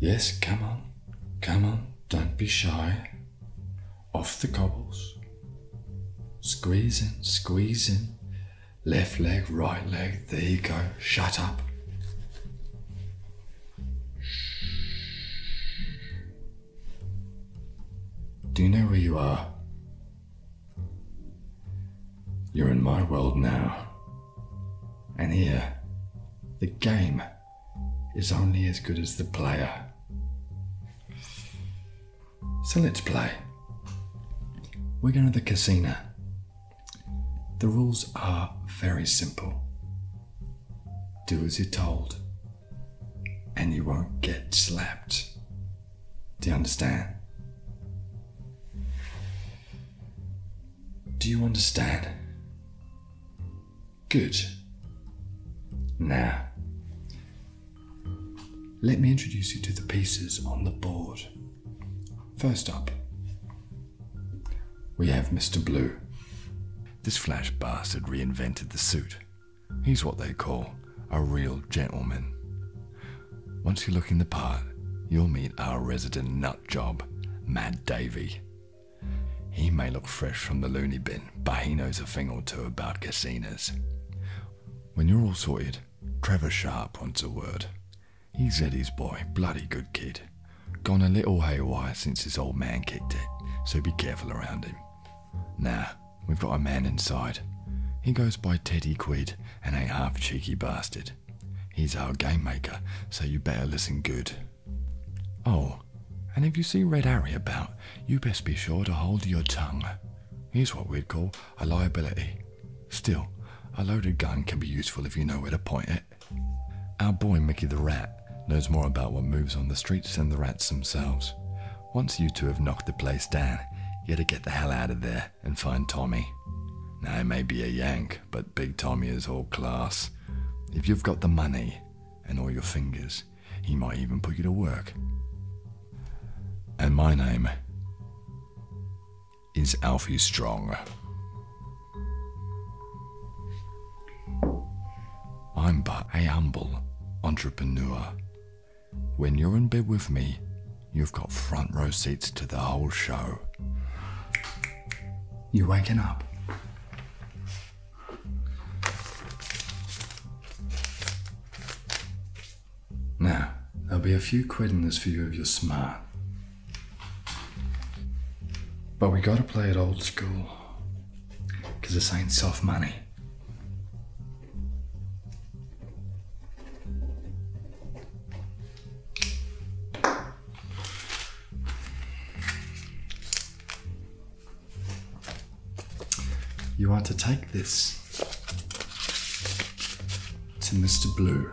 Yes, come on, come on, don't be shy. Off the cobbles. Squeezing, squeezing. Left leg, right leg, there you go, shut up. Do you know where you are? You're in my world now. And here, the game is only as good as the player. So let's play. We're going to the casino. The rules are very simple do as you're told, and you won't get slapped. Do you understand? Do you understand? Good. Now, let me introduce you to the pieces on the board. First up, we have Mr. Blue. This flash bastard reinvented the suit. He's what they call a real gentleman. Once you look in the part, you'll meet our resident nut job, Mad Davy. He may look fresh from the loony bin, but he knows a thing or two about casinos. When you're all sorted, Trevor Sharp wants a word. He's Eddie's boy, bloody good kid. Gone a little haywire since his old man kicked it, so be careful around him. Now we've got a man inside. He goes by Teddy Quid and ain't half a cheeky bastard. He's our game maker, so you better listen good. Oh, and if you see Red Harry about, you best be sure to hold your tongue. Here's what we'd call a liability. Still, a loaded gun can be useful if you know where to point it. Our boy Mickey the Rat knows more about what moves on the streets than the rats themselves. Once you two have knocked the place down, you gotta get the hell out of there and find Tommy. Now, he may be a Yank, but Big Tommy is all class. If you've got the money and all your fingers, he might even put you to work. And my name is Alfie Strong. I'm but a humble entrepreneur. When you're in bed with me, you've got front row seats to the whole show. You waking up? Now, there'll be a few quid in this for you if you're smart. But we gotta play it old school, 'cause this ain't soft money. You are to take this to Mr. Blue.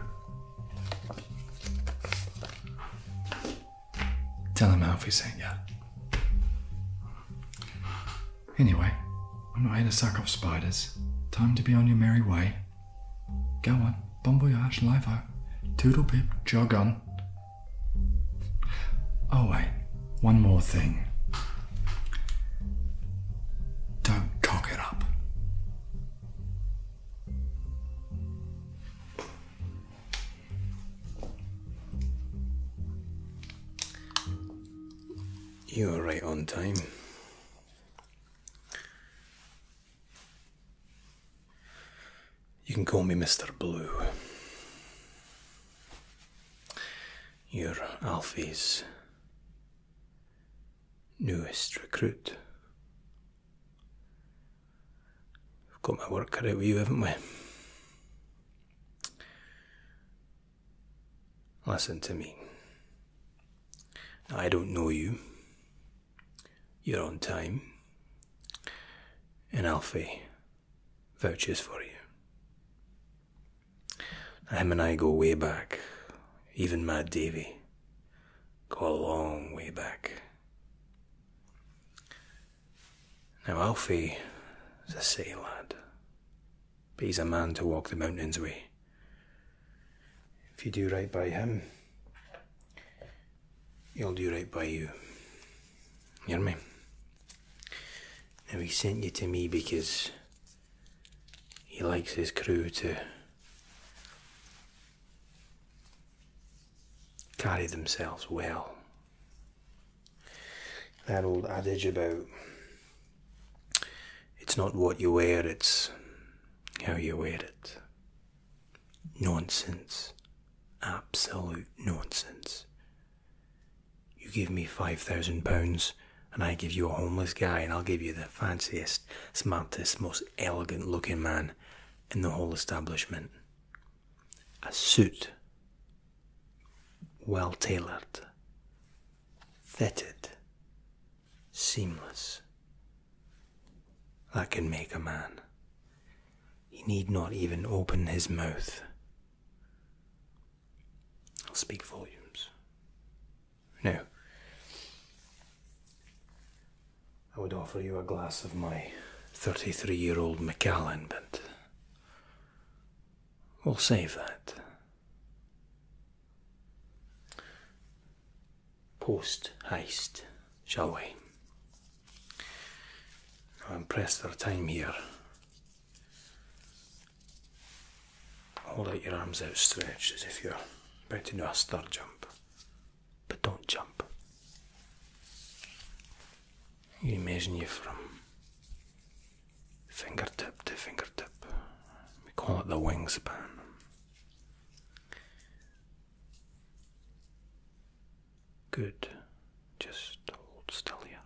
Tell him Alfie sent Yeah. Anyway, I'm not here to suck off spiders. Time to be on your merry way. Go on, bon voyage, live-o. Toodle pip, jog on. Oh wait, one more thing. Don't cock it up. You are right on time. You can call me Mr. Blue. You're Alfie's newest recruit. We've got my work cut out for you, haven't we? Listen to me. I don't know you. You're on time. And Alfie vouches for you. Him and I go way back. Even Mad Davy. Go a long way back. Now, Alfie is a city lad, but he's a man to walk the mountains with. If you do right by him, he'll do right by you. You hear me? Now, he sent you to me because he likes his crew to carry themselves well. That old adage about it's not what you wear, it's how you wear it. Nonsense. Absolute nonsense. You give me £5,000 and I give you a homeless guy and I'll give you the fanciest, smartest, most elegant looking man in the whole establishment. A suit, well tailored, fitted, seamless, that can make a man. He need not even open his mouth. I'll speak volumes. No. I would offer you a glass of my 33 year old Macallan, but we'll save that. Post haste, shall we? I'm pressed for time here. Hold out your arms outstretched as if you're about to do a star jump but don't jump. You imagine you from fingertip to fingertip. We call it the wingspan. Good. Just hold still here.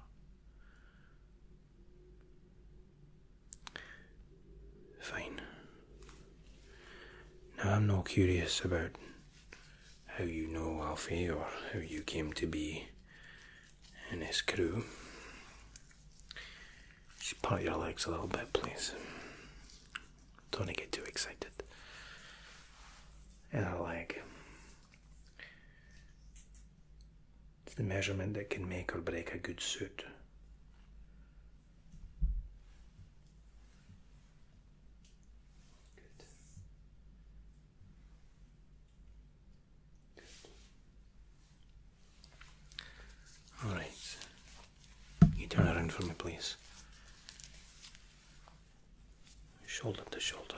Fine. Now I'm no curious about how you know Alfie or how you came to be in his crew. Just part your legs a little bit, please. Don't get too excited. And a leg. It's the measurement that can make or break a good suit. All right. You turn around for me, please. Shoulder to shoulder.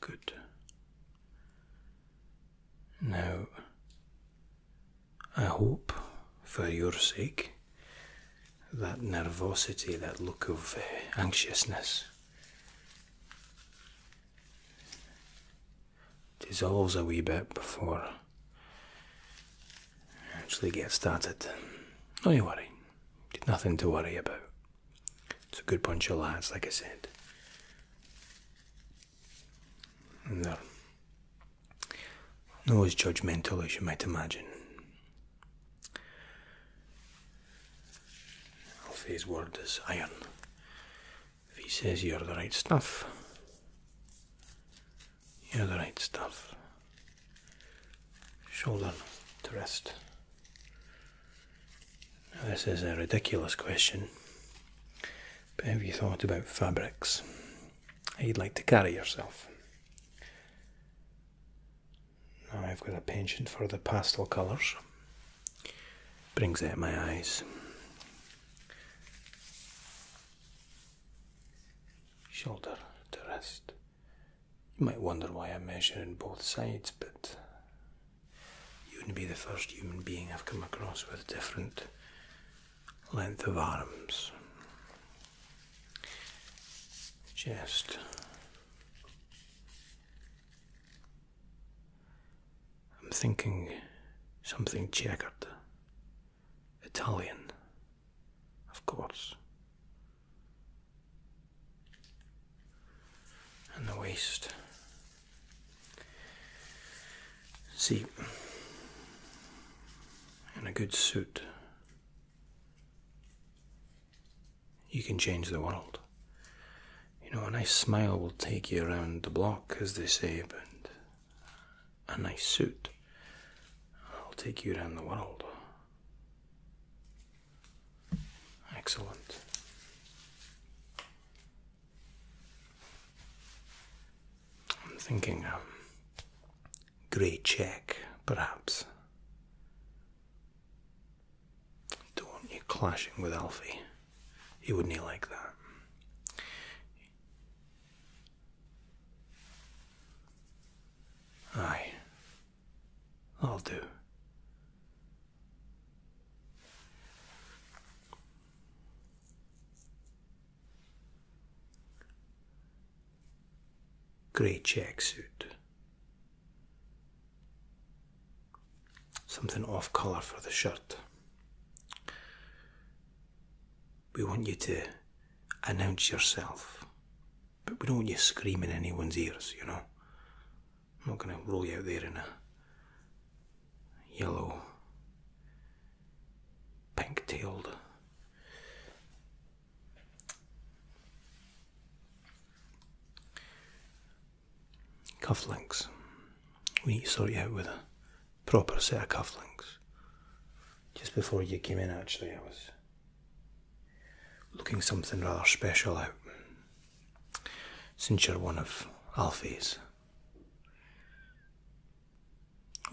Good. Now I hope, for your sake, that nervosity, that look of eh, anxiousness, dissolves a wee bit before actually get started. Don't you worry, nothing to worry about. It's a good bunch of lads, like I said. And not as judgmental as you might imagine. Alfie's word is iron. If he says you're the right stuff, you're the right stuff. Shoulder to rest. Now, this is a ridiculous question, but have you thought about fabrics? you'd like to carry yourself. Now I've got a penchant for the pastel colours. Brings out my eyes. Shoulder to rest. You might wonder why I'm measuring both sides, but you wouldn't be the first human being I've come across with different length of arms. Chest. I'm thinking something checkered. Italian, of course. And the waist. See, and a good suit, you can change the world. You know, a nice smile will take you around the block, as they say, but a nice suit will take you around the world. Excellent. I'm thinking um, grey check, perhaps. Don't you clashing with Alfie. He wouldn't like that. Aye, I'll do. Grey check suit. Something off colour for the shirt. We want you to announce yourself, but we don't want you screaming in anyone's ears, you know. I'm not going to roll you out there in a yellow pink tailed. Cufflinks. We need to sort it out with a proper set of cufflinks. Just before you came in, actually, I was looking something rather special out. Since you're one of Alfie's,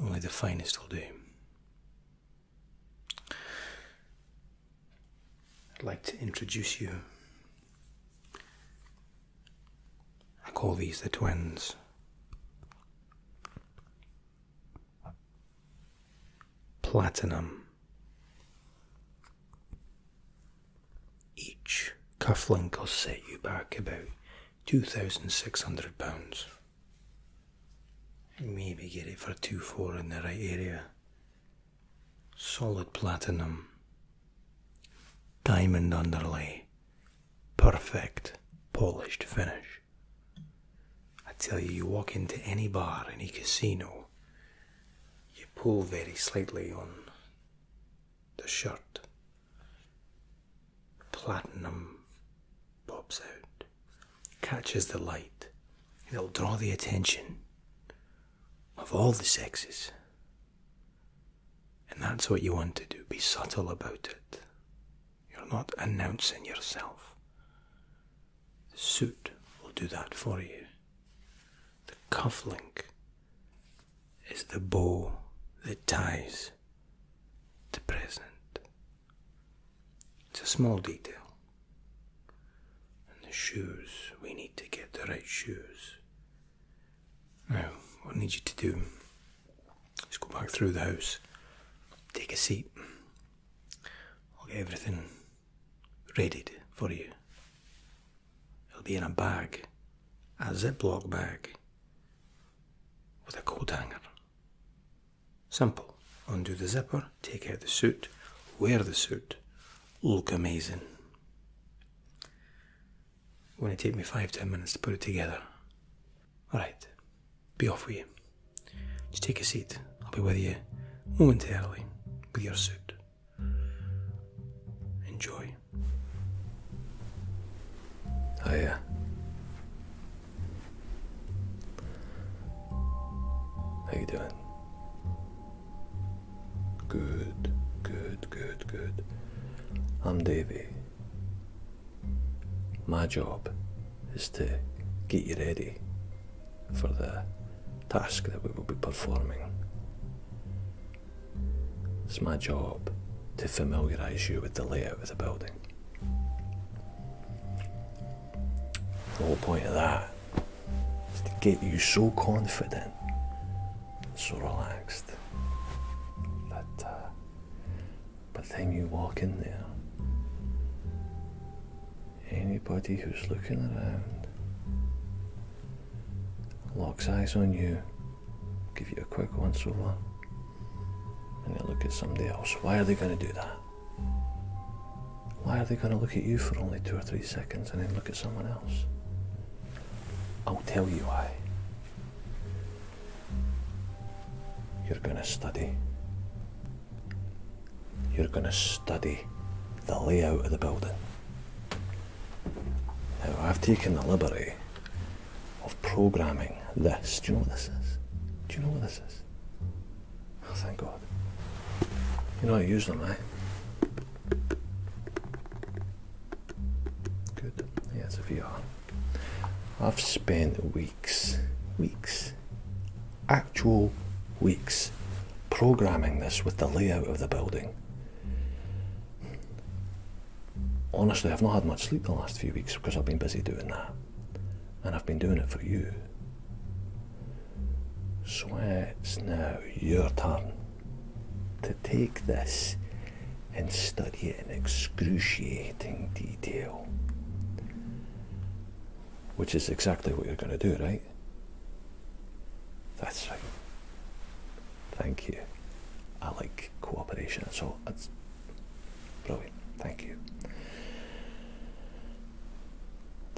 only the finest will do. I'd like to introduce you. I call these the twins. Platinum. Each cufflink will set you back about £2,600. Maybe get it for 2 4 in the right area. Solid platinum. Diamond underlay. Perfect polished finish. I tell you, you walk into any bar, any casino, you pull very slightly on the shirt, platinum pops out, catches the light, it'll draw the attention of all the sexes. And that's what you want to do. Be subtle about it. You're not announcing yourself. The suit will do that for you. The cufflink is the bow that ties the present. It's a small detail. And the shoes, we need to get the right shoes. Now, what I need you to do is go back through the house, take a seat. I'll get everything readied for you. It'll be in a bag, a ziplock bag, with a coat hanger. Simple. Undo the zipper, take out the suit, wear the suit, look amazing. Only take me five, ten minutes to put it together. Alright, be off with you. Just take a seat. I'll be with you momentarily with your suit. Enjoy. Hiya. How you doing? Good, good, good, good. I'm Davy. My job is to get you ready for the task that we will be performing. It's my job to familiarise you with the layout of the building. The whole point of that is to get you so confident, so relaxed that uh, by the time you walk in there, anybody who's looking around locks eyes on you, give you a quick once over, and they look at somebody else. Why are they going to do that? Why are they going to look at you for only two or three seconds and then look at someone else? I'll tell you why. You're going to study. You're going to study the layout of the building. Now, I've taken the liberty of programming this. Do you know what this is? Do you know what this is? Oh, thank God. You know I use them, eh? Good. Yeah, it's you are. I've spent weeks, weeks, actual weeks programming this with the layout of the building. Honestly, I've not had much sleep the last few weeks because I've been busy doing that and I've been doing it for you. So it's now your turn to take this and study it in excruciating detail. Which is exactly what you're going to do, right? That's right. Thank you. I like cooperation, so it's Brilliant, thank you.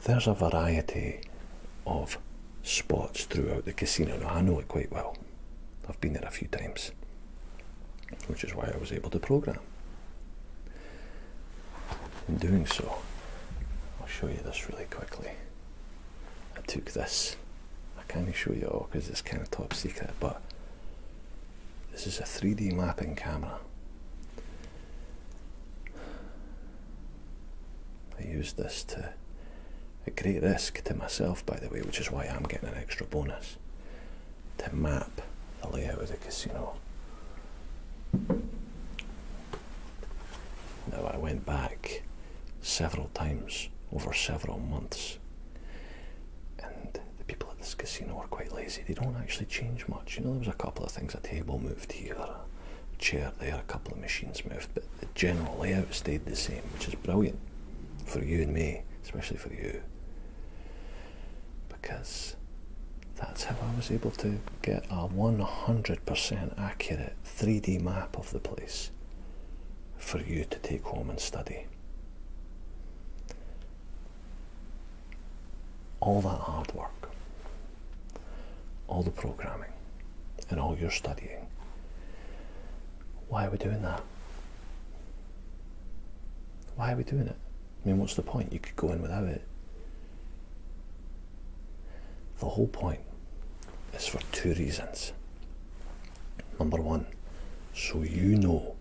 There's a variety of spots throughout the casino. I know it quite well. I've been there a few times, which is why I was able to program. In doing so, I'll show you this really quickly. I took this. I can't show you all because it's kind of top secret, but this is a 3D mapping camera. I used this to at great risk to myself, by the way, which is why I'm getting an extra bonus to map the layout of the casino. Now, I went back several times over several months and the people at this casino are quite lazy. They don't actually change much. You know, there was a couple of things, a table moved here, a chair there, a couple of machines moved, but the general layout stayed the same, which is brilliant for you and me, especially for you. Because that's how I was able to get a 100% accurate 3D map of the place for you to take home and study all that hard work, all the programming, and all your studying. Why are we doing that? Why are we doing it? I mean, what's the point? You could go in without it. The whole point is for two reasons. Number one, so you know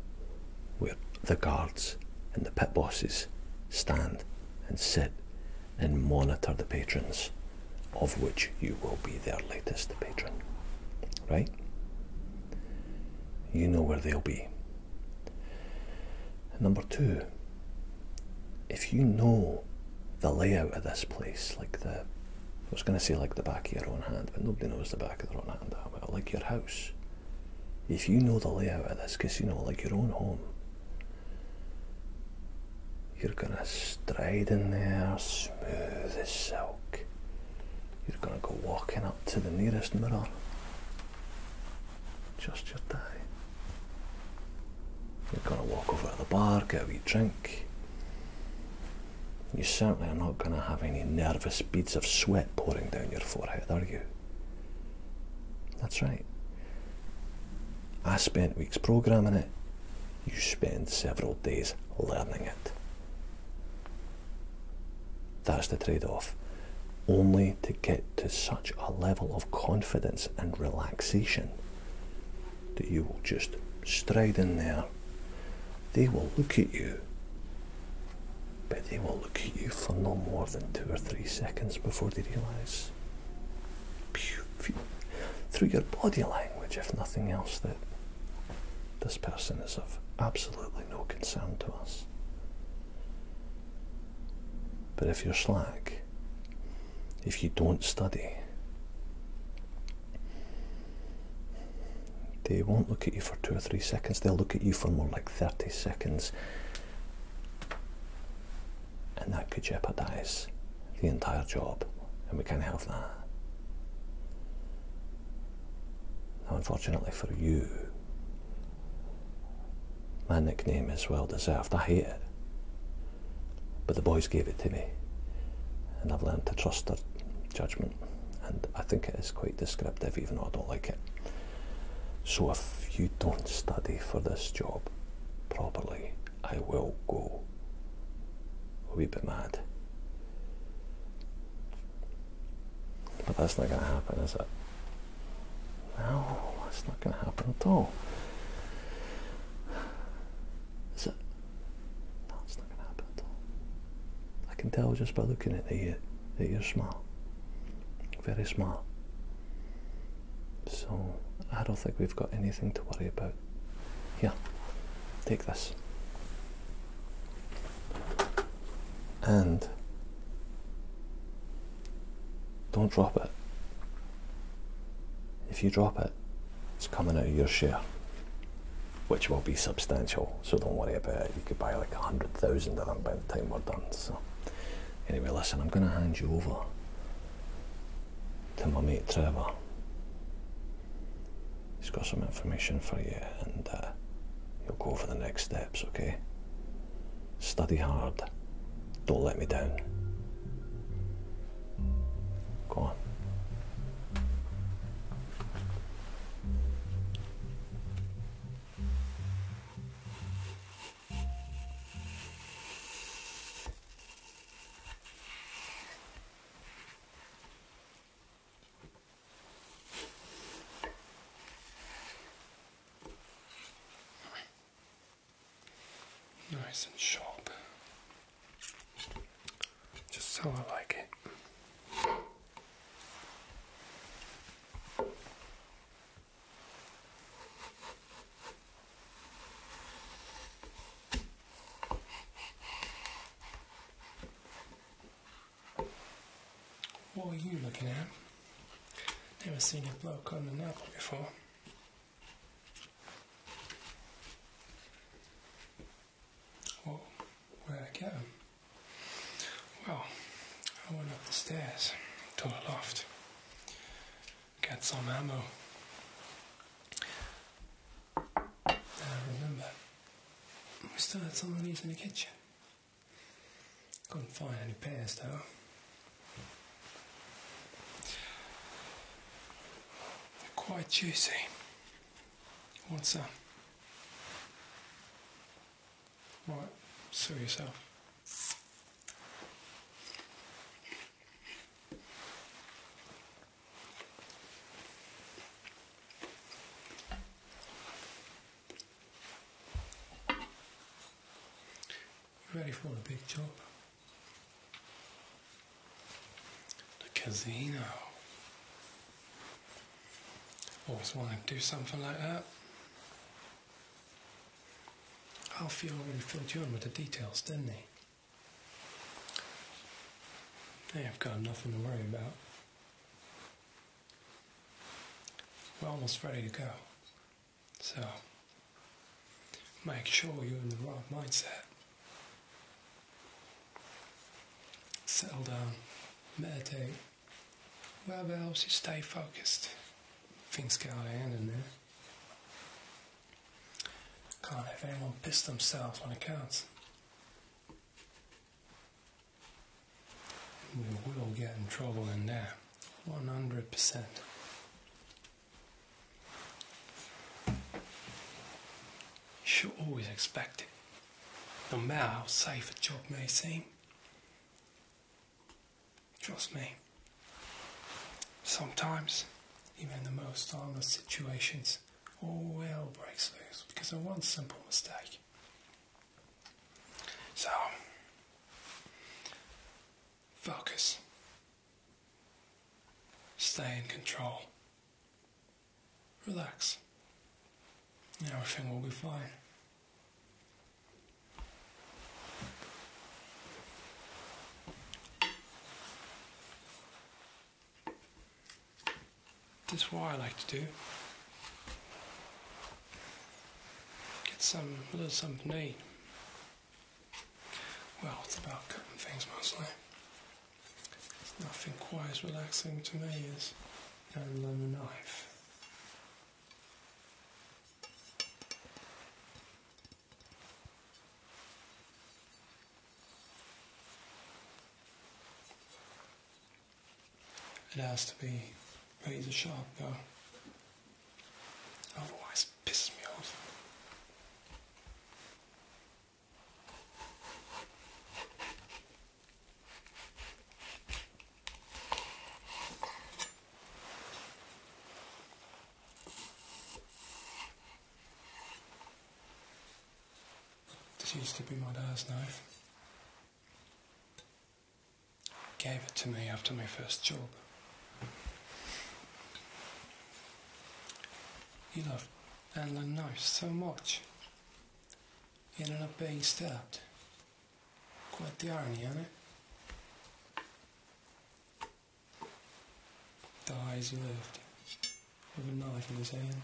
where the guards and the pit bosses stand and sit and monitor the patrons, of which you will be their latest patron. Right? You know where they'll be. Number two, if you know the layout of this place, like the, I was going to say like the back of your own hand, but nobody knows the back of their own hand that well, like your house, if you know the layout of this casino like your own home, you're gonna stride in there smooth as silk. You're gonna go walking up to the nearest mirror. Just your tie. You're gonna walk over to the bar, get a wee drink. You certainly are not gonna have any nervous beads of sweat pouring down your forehead, are you? That's right. I spent weeks programming it, you spend several days learning it. That's the trade off. Only to get to such a level of confidence and relaxation that you will just stride in there. They will look at you but they will look at you for no more than two or three seconds before they realise through your body language, if nothing else, that this person is of absolutely no concern to us. But if you're slack, if you don't study, they won't look at you for two or three seconds, they'll look at you for more like 30 seconds and that could jeopardize the entire job, and we can't have that. Now, unfortunately for you, my nickname is well deserved. I hate it. But the boys gave it to me, and I've learned to trust their judgment, and I think it is quite descriptive, even though I don't like it. So if you don't study for this job properly, I will go a wee bit mad. But that's not going to happen, is it? No, it's not going to happen at all. Is it? No, it's not going to happen at all. I can tell just by looking at you that you're small, very small. So I don't think we've got anything to worry about. Here, take this. And don't drop it. If you drop it, it's coming out of your share, which will be substantial. So don't worry about it. You could buy like a hundred thousand of them by the time we're done. So. Anyway, listen, I'm going to hand you over to my mate Trevor. He's got some information for you and you'll uh, go for the next steps, okay? Study hard. Don't let me down. Go on. Nice and sharp, just how I like it. What are you looking at? Never seen a bloke cutting an apple before. where'd I get him? Well, I went up the stairs to the loft, got some ammo. remember we still had some of in the kitchen. Couldn't find any pairs though. They're quite juicy. What's up? All right, sue yourself. Ready for the big job? The casino. Always want to do something like that. Alfio really filled you in with the details, didn't they? Hey, I've got nothing to worry about. We're almost ready to go. So, make sure you're in the right mindset. Settle down, meditate. Well, that helps you stay focused. Things can't end in there. Can't have anyone piss themselves when it counts. We will get in trouble in there. 100%. You should always expect it, no matter how safe a job may seem. Trust me, sometimes, even in the most harmless situations, all hell breaks loose because of one simple mistake. So, focus, stay in control, relax, everything will be fine. This is what I like to do. Get some a little something to Well, it's about cutting things mostly. It's nothing quite as relaxing to me as learning a knife. It has to be razor sharp though, otherwise it pisses me off. This used to be my dad's knife. He gave it to me after my first job. He loved handling knives so much. He ended up being stabbed Quite the irony, ain't it? eyes he lived, with a knife in his hand.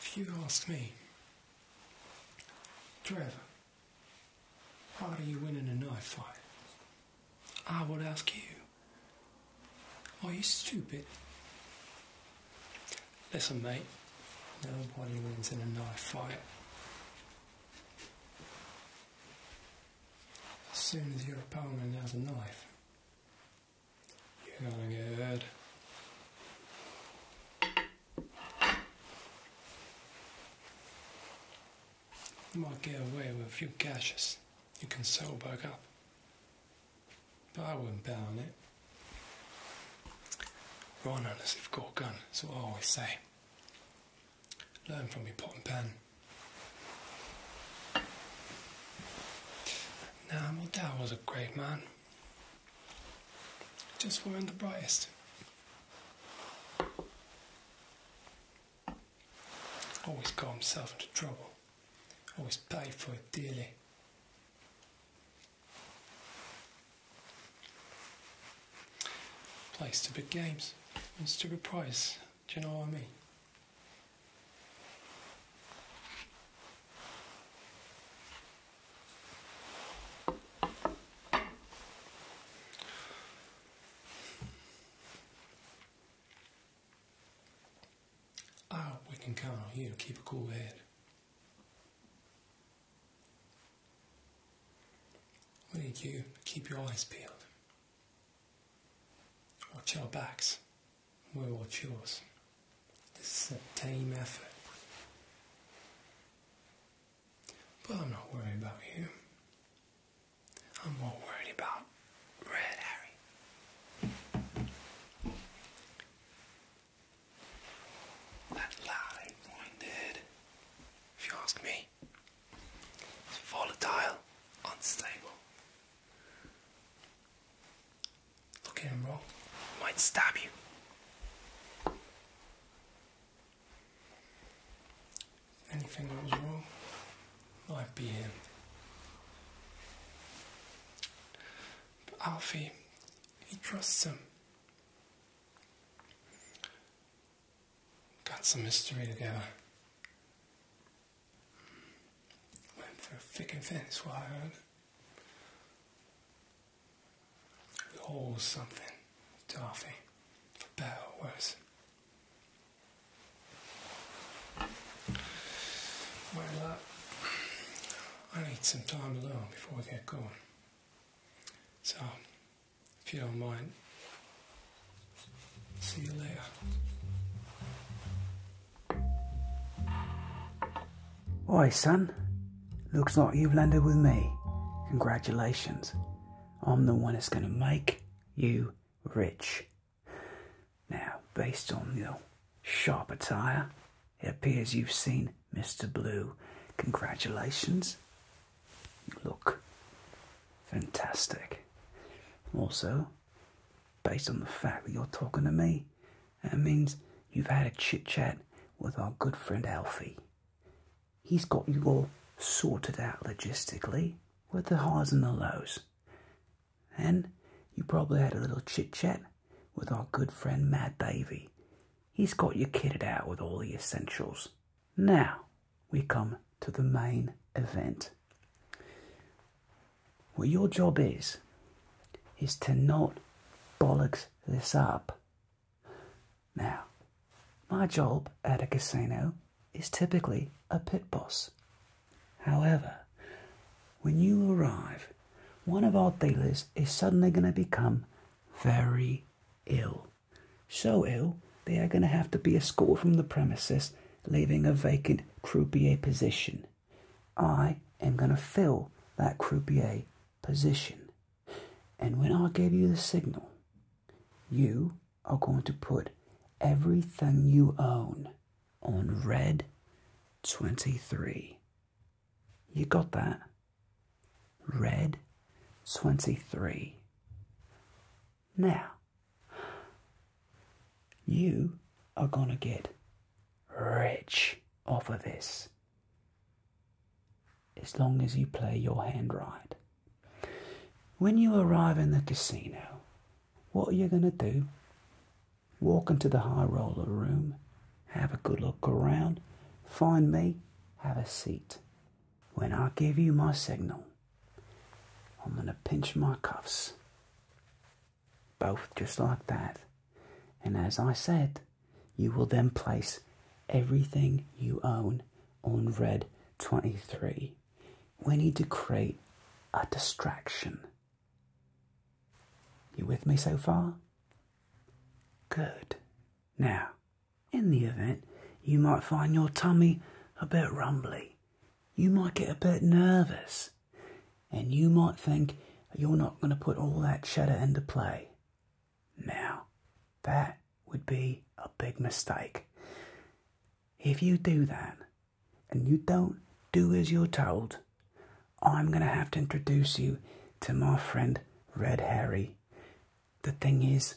If you ask me, Trevor, how do you win a knife fight? I would ask you, are you stupid? Listen, mate, nobody wins in a knife fight. As soon as your opponent has a knife, you're gonna get You might get away with a few gashes. You can sew back up. But I wouldn't bet on it. Run unless you've got a gun, that's what I always say. Learn from your pot and pan. Now my dad was a great man. Just weren't the brightest. Always got himself into trouble. Always paid for it dearly. Plays to big games and stupid price. Do you know what I mean? Ah, we can count on you to keep a cool head. We need you to keep your eyes peeled. Watch our backs. We'll watch yours. This is a team effort. But I'm not worried about you. I'm more worried about Red Harry. That lie minded, if you ask me, it's volatile, unstable. Look at him wrong, might stab you. Anything that was wrong might be him. But Alfie, he trusts him. Got some mystery together. Went through thick and thin, that's what I heard. We owe something, Darby, for better or worse. Well, uh, I need some time alone before we get going. So, if you don't mind, see you later. Oi, son. Looks like you've landed with me. Congratulations. I'm the one that's going to make you rich. Now, based on your sharp attire it appears you've seen Mr. Blue. Congratulations. You look fantastic. Also, based on the fact that you're talking to me, that means you've had a chit chat with our good friend Alfie. He's got you all sorted out logistically with the highs and the lows. And you probably had a little chit chat with our good friend Mad Davey he's got you kitted out with all the essentials. Now we come to the main event. What your job is, is to not bollocks this up. Now, my job at a casino is typically a pit boss. However, when you arrive one of our dealers is suddenly going to become very ill. So ill, they are going to have to be escorted from the premises, leaving a vacant croupier position. I am going to fill that croupier position. And when I give you the signal, you are going to put everything you own on red 23. You got that? Red 23. Now, you are going to get rich off of this as long as you play your hand right. When you arrive in the casino, what are you going to do? Walk into the high roller room have a good look around, find me, have a seat. When I give you my signal, I'm going to pinch my cuffs. Both just like that. And as I said, you will then place everything you own on red 23. We need to create a distraction. You with me so far? Good. Now, in the event, you might find your tummy a bit rumbly. You might get a bit nervous. And you might think you're not going to put all that cheddar into play. Now, that would be a big mistake. If you do that and you don't do as you're told, I'm going to have to introduce you to my friend Red Harry. The thing is,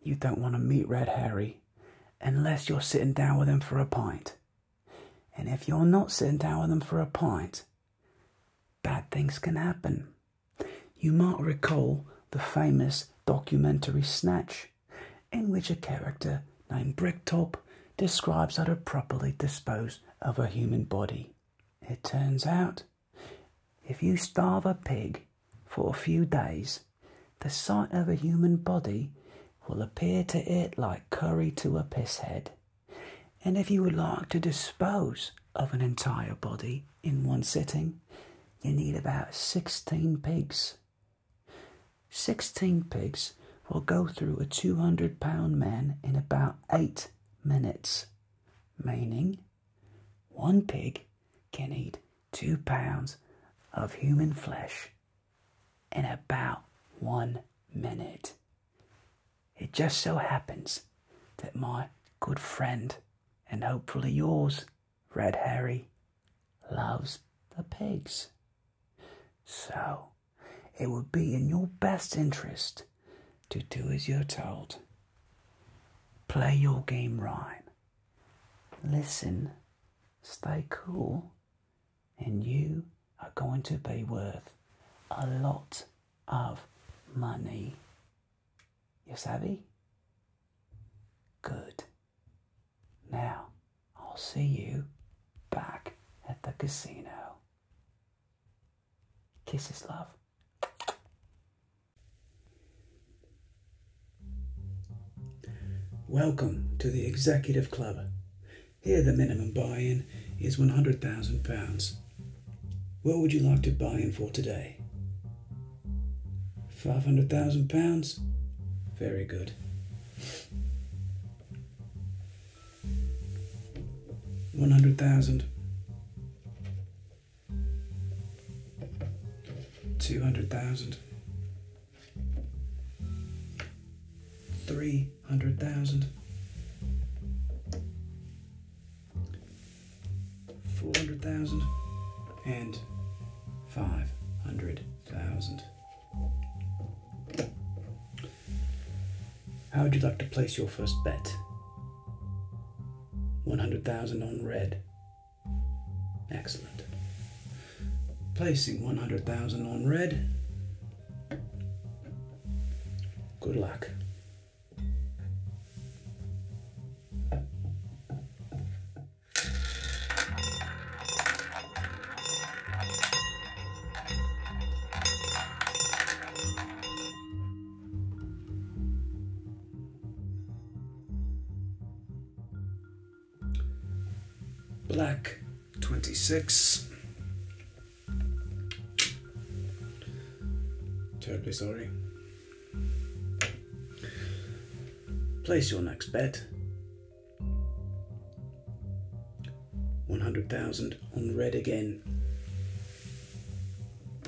you don't want to meet Red Harry unless you're sitting down with him for a pint. And if you're not sitting down with him for a pint, bad things can happen. You might recall the famous documentary Snatch, in which a character named Bricktop describes how to properly dispose of a human body. It turns out if you starve a pig for a few days, the sight of a human body will appear to it like curry to a piss head. And if you would like to dispose of an entire body in one sitting, you need about 16 pigs. 16 pigs will go through a 200 pound man in about 8 minutes meaning one pig can eat two pounds of human flesh in about one minute. It just so happens that my good friend, and hopefully yours, Red Harry, loves the pigs. So, it would be in your best interest to do as you're told. Play your game right. Listen, stay cool, and you are going to be worth a lot of money. You savvy? Good. Now, I'll see you back at the casino. Kisses, love. Welcome to the Executive Club. Here, the minimum buy in is £100,000. What would you like to buy in for today? £500,000? Very good. One hundred thousand. Two hundred thousand. Three hundred thousand. Four hundred thousand. And five hundred thousand. How would you like to place your first bet? 100,000 on red. Excellent. Placing 100,000 on red. Good luck. Black 26. Terribly sorry. Place your next bet. 100,000 on red again.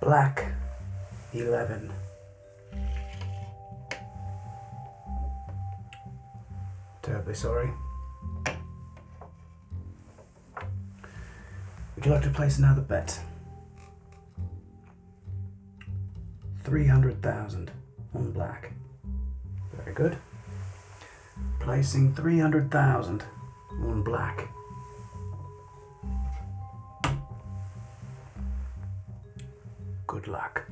Black 11. Terribly sorry. Would you like to place another bet? 300,000 on black. Very good. Placing 300,000 on black. Good luck.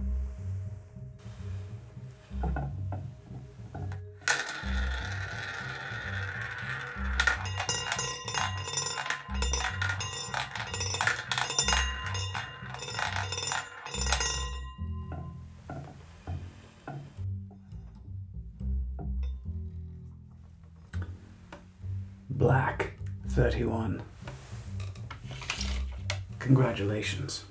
Black 31. Congratulations.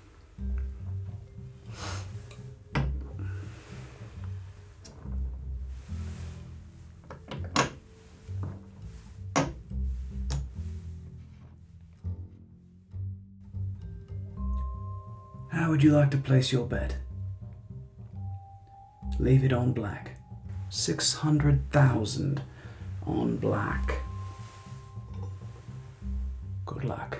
How would you like to place your bet? Leave it on black. 600,000 on black. Good luck.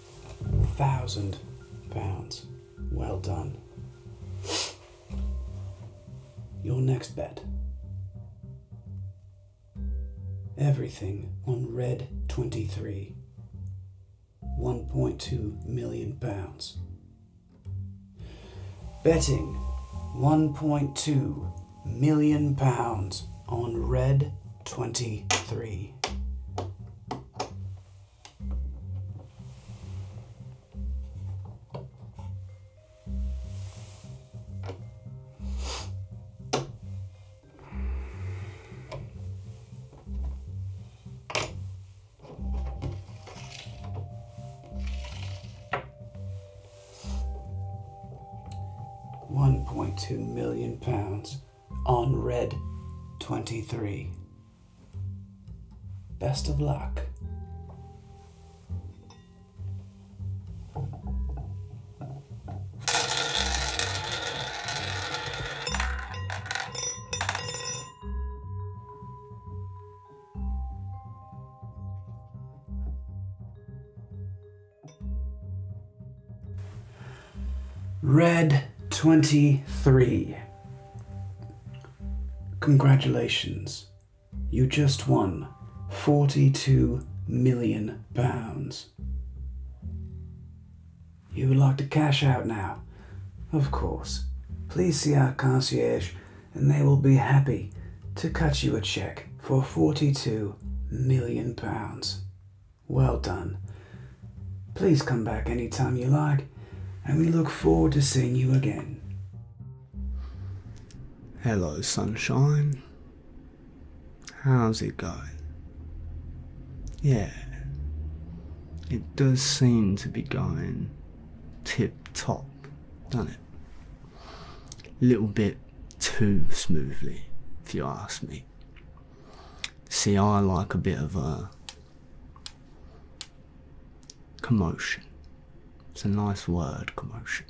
thousand pounds. Well done. Your next bet. Everything on red 23. 1.2 million pounds. Betting 1.2 million pounds on red 23. One point two million pounds on red 23. Best of luck. Red 23. Congratulations. You just won 42 million pounds. You would like to cash out now? Of course. Please see our concierge and they will be happy to cut you a check for 42 million pounds. Well done. Please come back anytime you like, and we look forward to seeing you again. Hello, sunshine. How's it going? Yeah, it does seem to be going tip top, doesn't it? A little bit too smoothly, if you ask me. See, I like a bit of a uh, commotion. It's a nice word, commotion.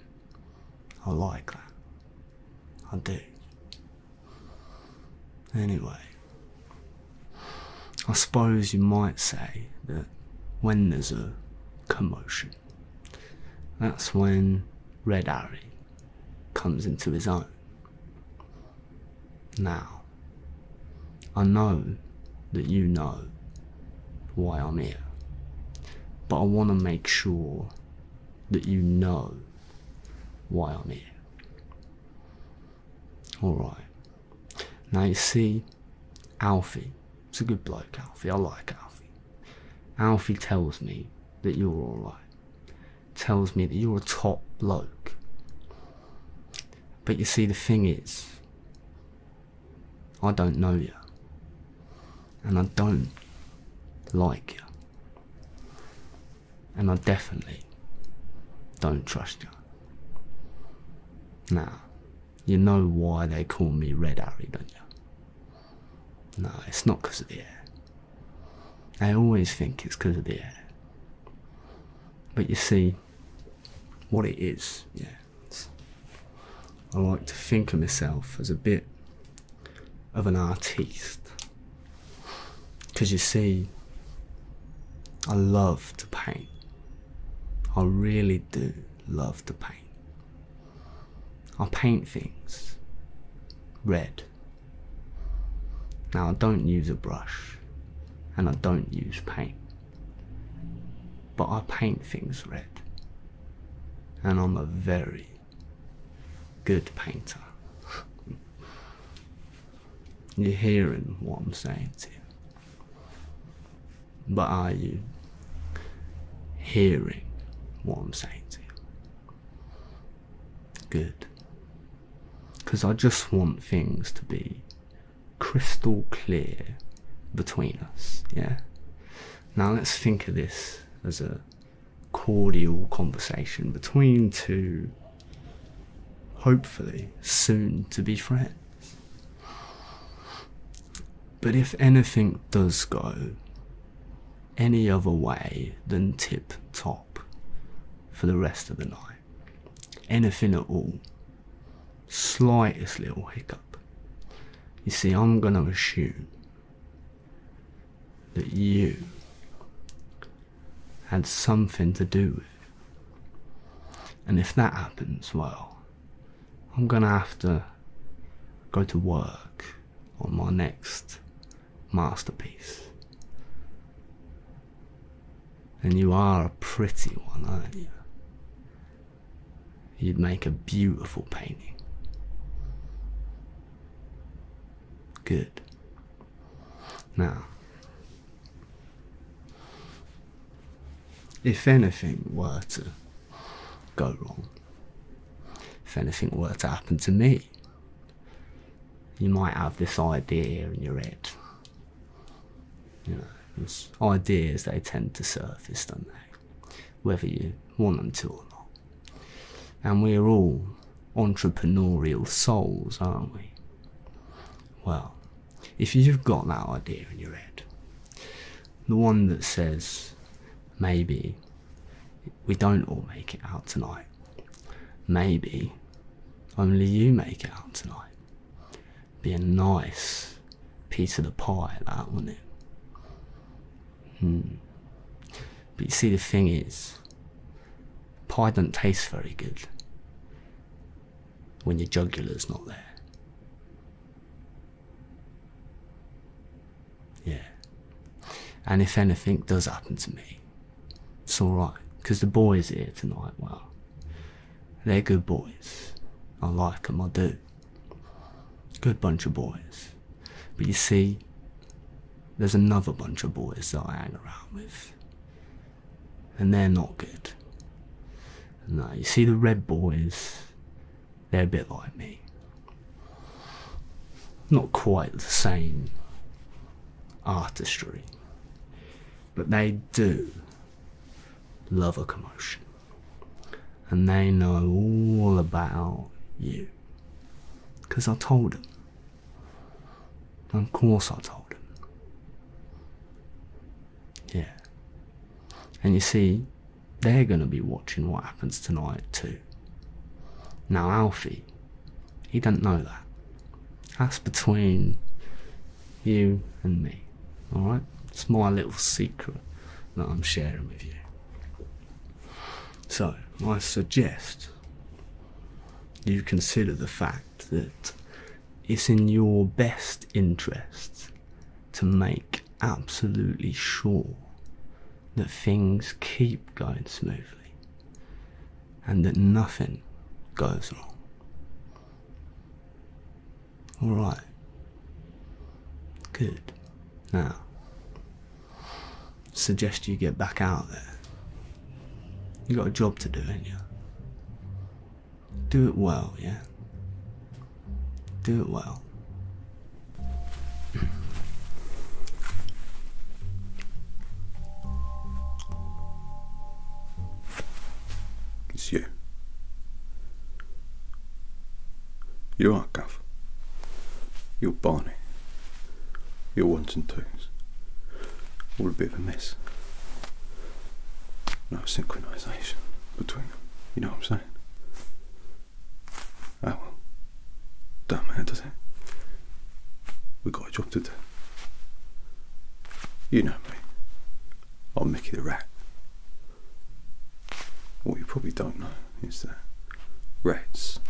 I like that. I do. Anyway, I suppose you might say that when there's a commotion, that's when Red Harry comes into his own. Now, I know that you know why I'm here, but I want to make sure that you know why I'm here. Alright. Now you see, Alfie, it's a good bloke, Alfie, I like Alfie. Alfie tells me that you're alright tells me that you're a top bloke. But you see, the thing is, I don't know you. And I don't like you. And I definitely don't trust you. Now, you know why they call me Red Harry, don't you? No, it's not because of the air. I always think it's because of the air. But you see, what it is, yeah. I like to think of myself as a bit of an artiste. Because you see, I love to paint. I really do love to paint. I paint things red, now I don't use a brush and I don't use paint, but I paint things red and I'm a very good painter. You're hearing what I'm saying to you. But are you hearing what I'm saying to you? good. Because I just want things to be crystal clear between us, yeah? Now let's think of this as a cordial conversation between two, hopefully, soon to be friends. But if anything does go any other way than tip top for the rest of the night. Anything at all. Slightest little hiccup. You see, I'm going to assume that you had something to do with it. And if that happens, well, I'm going to have to go to work on my next masterpiece. And you are a pretty one, aren't you? You'd make a beautiful painting. Good. Now, if anything were to go wrong, if anything were to happen to me, you might have this idea in your head. ideas they tend to surface, don't they? Whether you want them to or not. And we're all entrepreneurial souls, aren't we? Well, if you've got that idea in your head, the one that says maybe we don't all make it out tonight, Maybe only you make it out tonight. Be a nice piece of the pie, that wouldn't it? Hmm. But you see, the thing is, pie doesn't taste very good when your jugular's not there. Yeah, and if anything does happen to me, it's all right, 'cause the boys here tonight, well, they're good boys. I like 'em. I do. Good bunch of boys. But you see, there's another bunch of boys that I hang around with. And they're not good. No, you see, the red boys, they're a bit like me. Not quite the same artistry, but they do love a commotion and they know all about you because I told them. of course, I told them. Yeah. And you see, they're going to be watching what happens tonight, too. Now, Alfie he did not know that. That's between you and me. Alright? It's my little secret that I'm sharing with you. So, I suggest you consider the fact that it's in your best interest to make absolutely sure that things keep going smoothly and that nothing goes wrong. Alright. Good. Now, suggest you get back out there. You got a job to do, ain't you? Do it well, yeah? Do it well. It's you. You are Gav. You're Barney. You're ones and twos. All a bit of a mess. No synchronisation between them. You know what I'm saying? Oh well. Damn it, We've got a job to do. You know me. I'm Mickey the Rat. What you probably don't know is that rats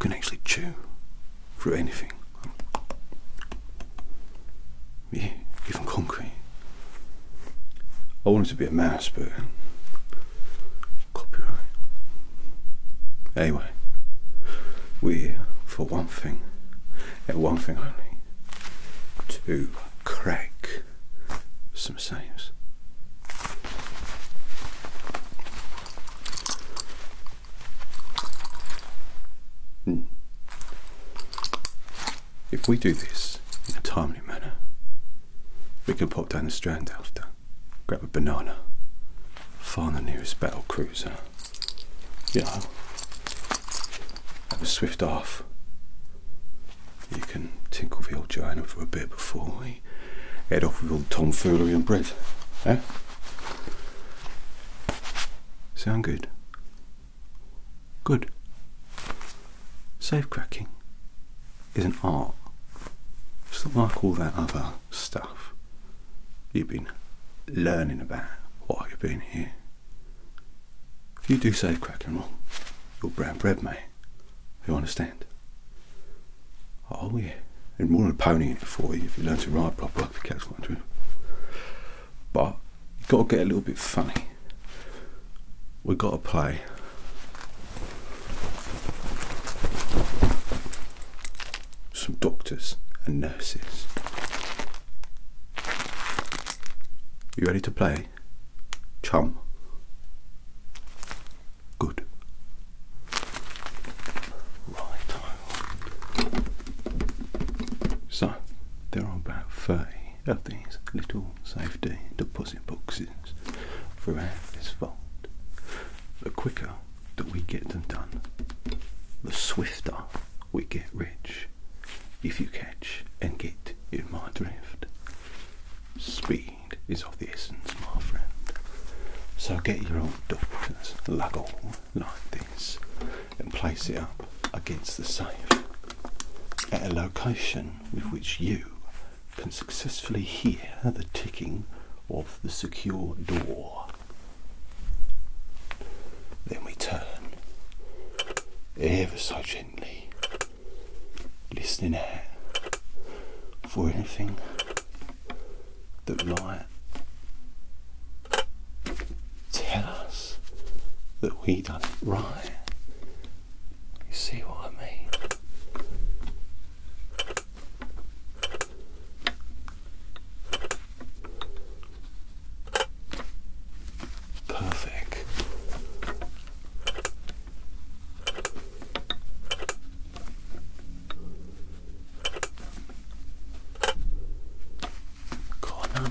can actually chew through anything. Yeah, even concrete. I wanted to be a mouse, but copyright. Anyway, we're for one thing, and one thing only, to crack some saves. Hmm. If we do this in a timely manner, we can pop down the strand after grab a banana, find the nearest battle cruiser, you know, have a swift off. You can tinkle the old Joanna for a bit before we head off with all tomfoolery and bread. Yeah. Sound good? Good. Safe cracking is an art. It's not like all that other stuff you've been learning about while you've been here. If you do say crack and roll, you're brown bread, mate. You understand? Oh, yeah. There's more of a pony in for you if you learn to ride proper, The cats want to. But you've got to get a little bit funny. We've got to play some doctors and nurses. You ready to play? Chum. Good. Right. So, there are about 30 of these little safety deposit boxes throughout this vault. The quicker that we get them done, the swifter we get rich. If you catch and get in my drift, speed is of the essence, my friend. So get your old doctor's luggle like this and place it up against the safe at a location with which you can successfully hear the ticking of the secure door. Then we turn ever so gently, listening out for anything that might tell us that we done it right. You see what I mean? Perfect. Corner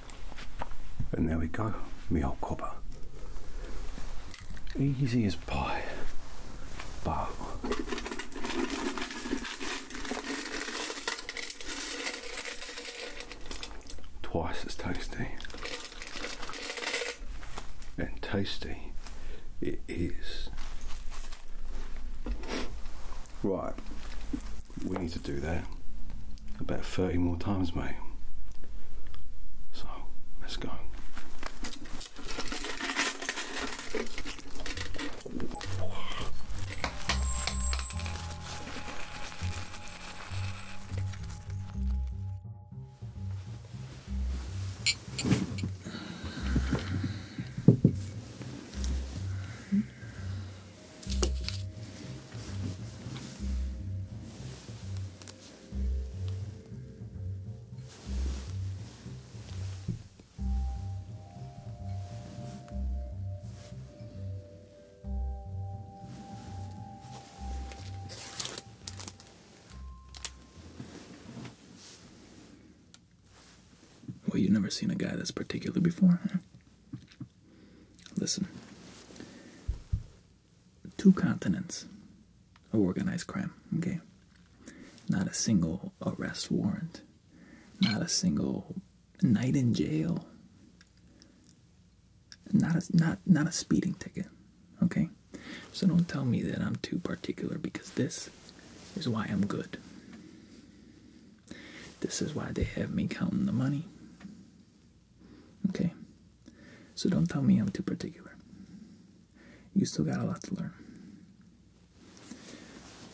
And there we go, me old copper. Easy as pie. But twice as tasty. And tasty it is. Right, we need to do that about 30 more times, mate. So, let's go. Well, you've never seen a guy that's particular before, huh? Listen, two continents of organized crime. Okay, not a single arrest warrant, not a single night in jail, not a, not not a speeding ticket. Okay, so don't tell me that I'm too particular because this is why I'm good. This is why they have me counting the money. Okay, so don't tell me I'm too particular. You still got a lot to learn.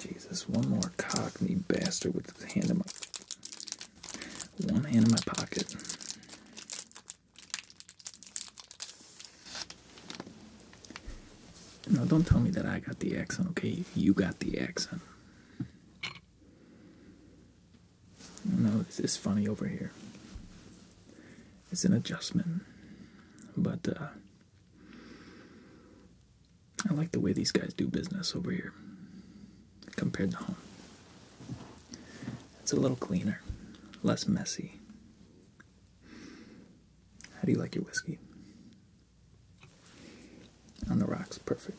Jesus, one more cockney bastard with his hand in my one hand in my pocket. No, don't tell me that I got the accent, okay? You got the accent. No, this is funny over here. It's an adjustment, but uh, I like the way these guys do business over here compared to home. It's a little cleaner, less messy. How do you like your whiskey? On the rocks, perfect.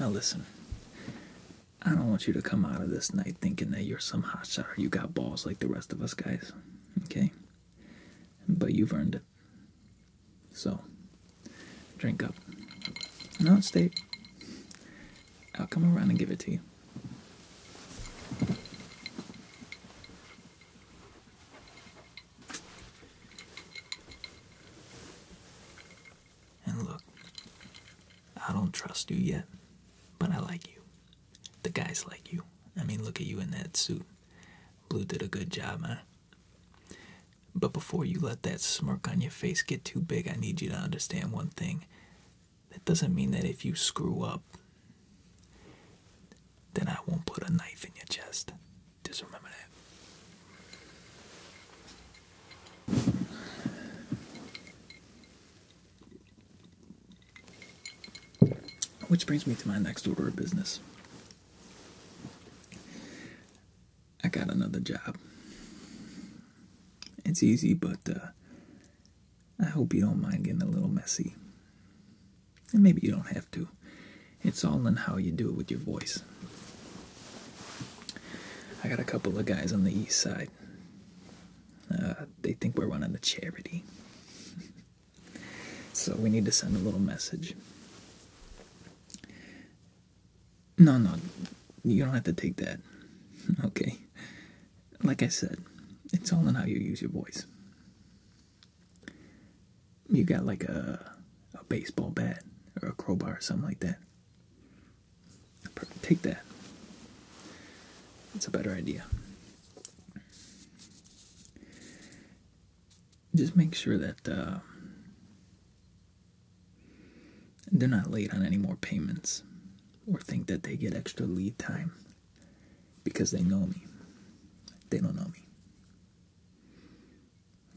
Now, listen, I don't want you to come out of this night thinking that you're some hotshot or you got balls like the rest of us guys, okay? But you've earned it. So, drink up. No, stay. I'll come around and give it to you. And look, I don't trust you yet, but I like you. The guys like you. I mean, look at you in that suit. Blue did a good job, man. Huh? But before you let that smirk on your face get too big, I need you to understand one thing. That doesn't mean that if you screw up, then I won't put a knife in your chest. Just that. Which brings me to my next order of business. I got another job. It's easy, but uh, I hope you don't mind getting a little messy. And maybe you don't have to. It's all in how you do it with your voice. I got a couple of guys on the east side. Uh, they think we're running a charity. so we need to send a little message. No, no, you don't have to take that. Okay. Like I said, it's all in how you use your voice. You got like a a baseball bat or a crowbar or something like that. Take that. It's a better idea. Just make sure that uh, they're not late on any more payments or think that they get extra lead time because they know me. They don't know me.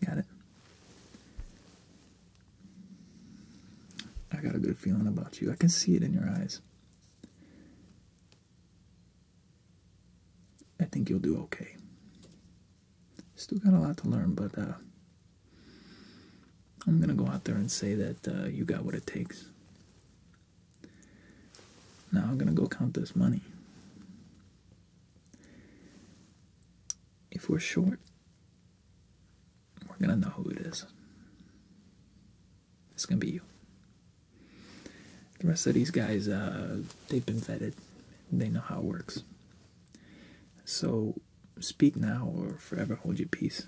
Got it? I got a good feeling about you. I can see it in your eyes. I think you'll do okay. Still got a lot to learn, but uh, I'm going to go out there and say that uh, you got what it takes. Now I'm going to go count this money. If we're short, we're going to know who it is. It's going to be you. The rest of these guys, uh, they've been vetted. They know how it works. So speak now or forever hold your peace.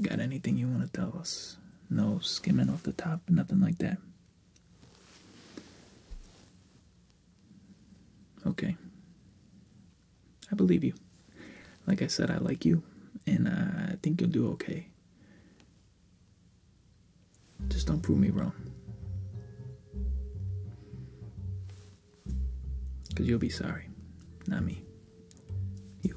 Got anything you want to tell us? No skimming off the top, nothing like that. Okay. I believe you. Like I said, I like you, and uh, I think you'll do okay. Just don't prove me wrong. Because you'll be sorry. Not me. You.